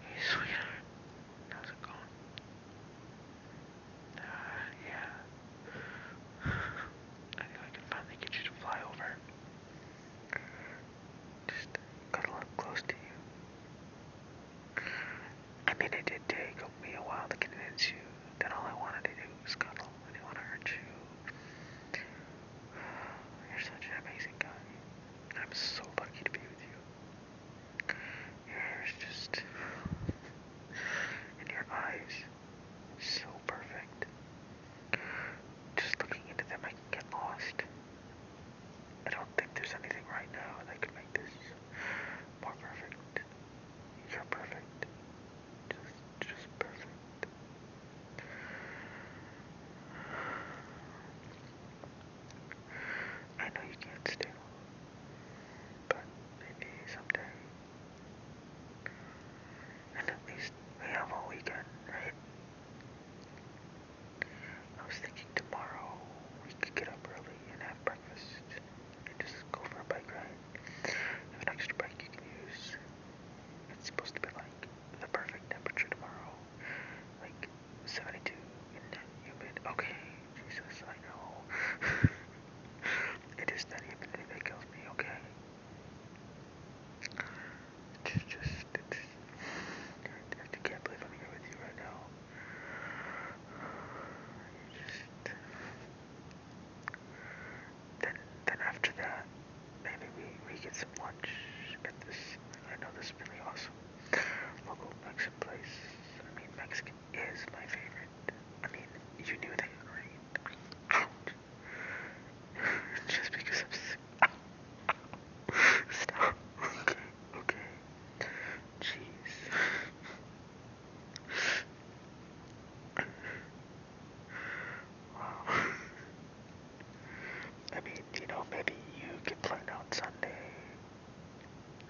Hey, sweetheart. How's it going? Uh, yeah. I think I can finally get you to fly over. Just cuddle up close to you. I mean, it did take me a while to convince you that all I wanted to do was cuddle. I didn't want to hurt you. You're such an amazing guy. I'm so lucky to be with you. Your hair is just. and your eyes. So perfect. Just looking into them, I can get lost. I don't think there's anything right now that could make this more perfect. You're perfect. Just just perfect. I know you can't still, but maybe someday. And at least we have all weekend, I was thinking tomorrow we could get up early and have breakfast and just go for a bike ride. have an extra bike you can use. It's supposed to be like the perfect temperature tomorrow, like 72 and not humid. Okay, Jesus, I know. it is that humidity that kills me. Okay. Just, just, it's, I can't believe I'm here with you right now. You just, then, then after that, maybe we, we get some lunch at this, I know this is really awesome local Mexican place. I mean, Mexican is my favorite. I mean, you knew that, right? Just because I'm sick. Stop. Okay, okay. Jeez. Wow. I mean, you know, maybe you can plan on Sunday.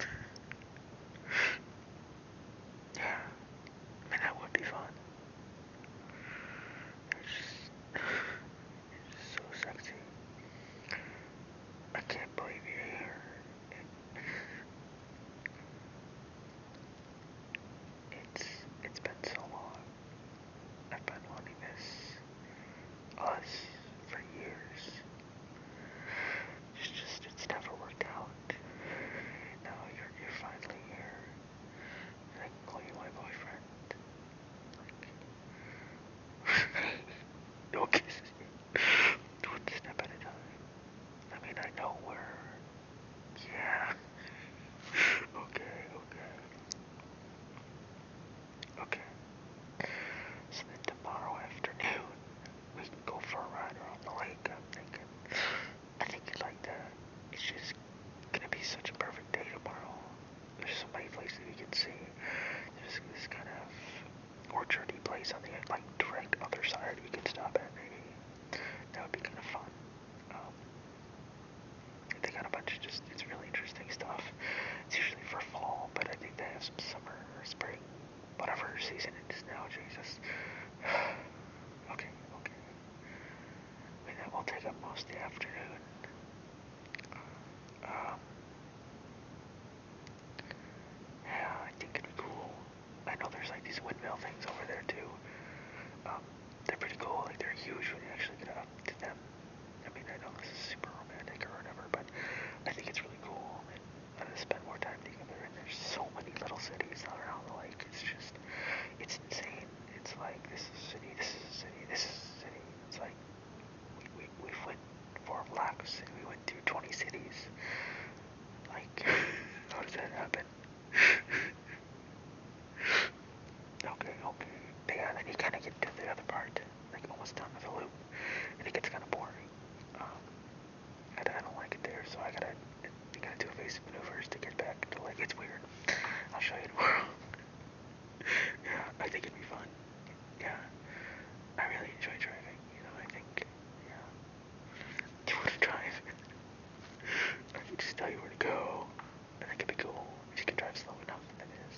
Yeah, I that would be fun. It's, just, so sexy. I can't believe you're here. It's it's been so long. I've been wanting this us for years. It's just it's never worked out. Now you're you're finally here. I call you my boyfriend. Like One step at a time. I mean, I know where. Yeah. Okay, okay. Okay. So then tomorrow afternoon, we can go for a ride around the lake, I'm thinking. I think you'd like that. It's just gonna be such a perfect day tomorrow. There's so many places we can see. There's this kind of orchard he plays on the like direct other side we can stop at maybe. That would be kinda fun. Um, they got a bunch of just it's really interesting stuff. It's usually for fall, but I think they have some summer spring. Whatever season it is now, Jesus. okay, okay. that will take up most the afternoon. Um yeah, I think it'd be cool. I know there's like these windmill things over there too. Um, they're pretty cool. Like they're huge when you actually get up to them. I mean, I know this is super romantic or whatever, but I think it's really cool. And I'm gonna spend more time together. And there's so many little cities around the lake. It's just, it's insane. It's like this is a city. This is a city. This is a city. It's like we, we, we went for laps we went through 20 cities. Like, how does that happen? okay, okay. But then you kind of get to the other part, like almost down to the loop, and it gets kind of boring. Um, I, don't like it there, so I gotta, you gotta do evasive maneuvers to get back like, it's weird. I'll show you tomorrow. yeah, I think it'd be fun yeah, I really enjoy driving, you know, I think, yeah, do you want to drive? I can just tell you where to go, and that could be cool, if you can drive slow enough, that is,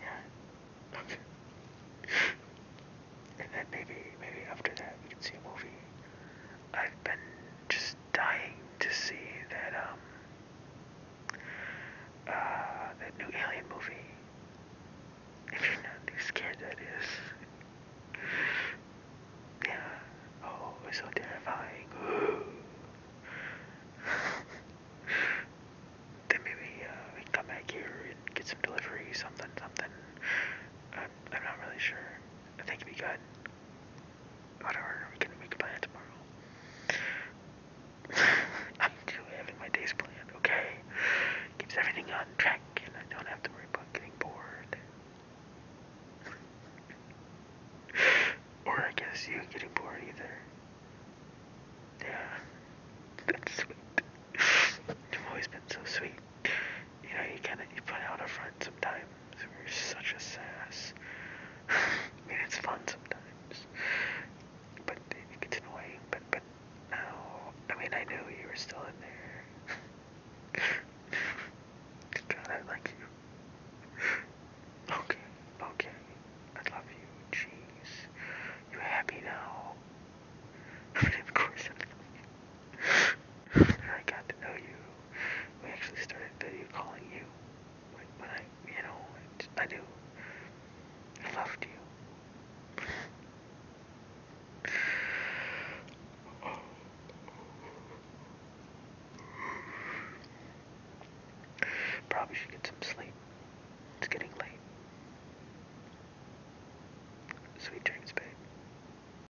yeah, okay, and then maybe, maybe after that, we can see a movie, I've been just dying to see that, um, uh, that new Alien movie. If you're not too scared, that is. yeah. Oh, it's so terrifying. then maybe uh, we can come back here and get some delivery, something, something. I'm, I'm not really sure. I think it'd be good. Whatever, we can make a plan tomorrow. I'm still having my days planned, okay? Keeps everything on track, and I don't have to worry about getting bored. or I guess you getting bored either. Yeah, that's sweet. You've always been so sweet. You know, you kind of you put out a front sometimes. You're such a sass. I mean, it's fun sometimes, but it gets annoying. But but now, I mean, I knew you were still in there. God, I like you. Okay, okay. I love you. Jeez. You're happy now. of course I love you. I got to know you we actually started video calling you. But, I, you know, I do. I loved you. Probably should get some sleep. It's getting late. Sweet dreams, babe.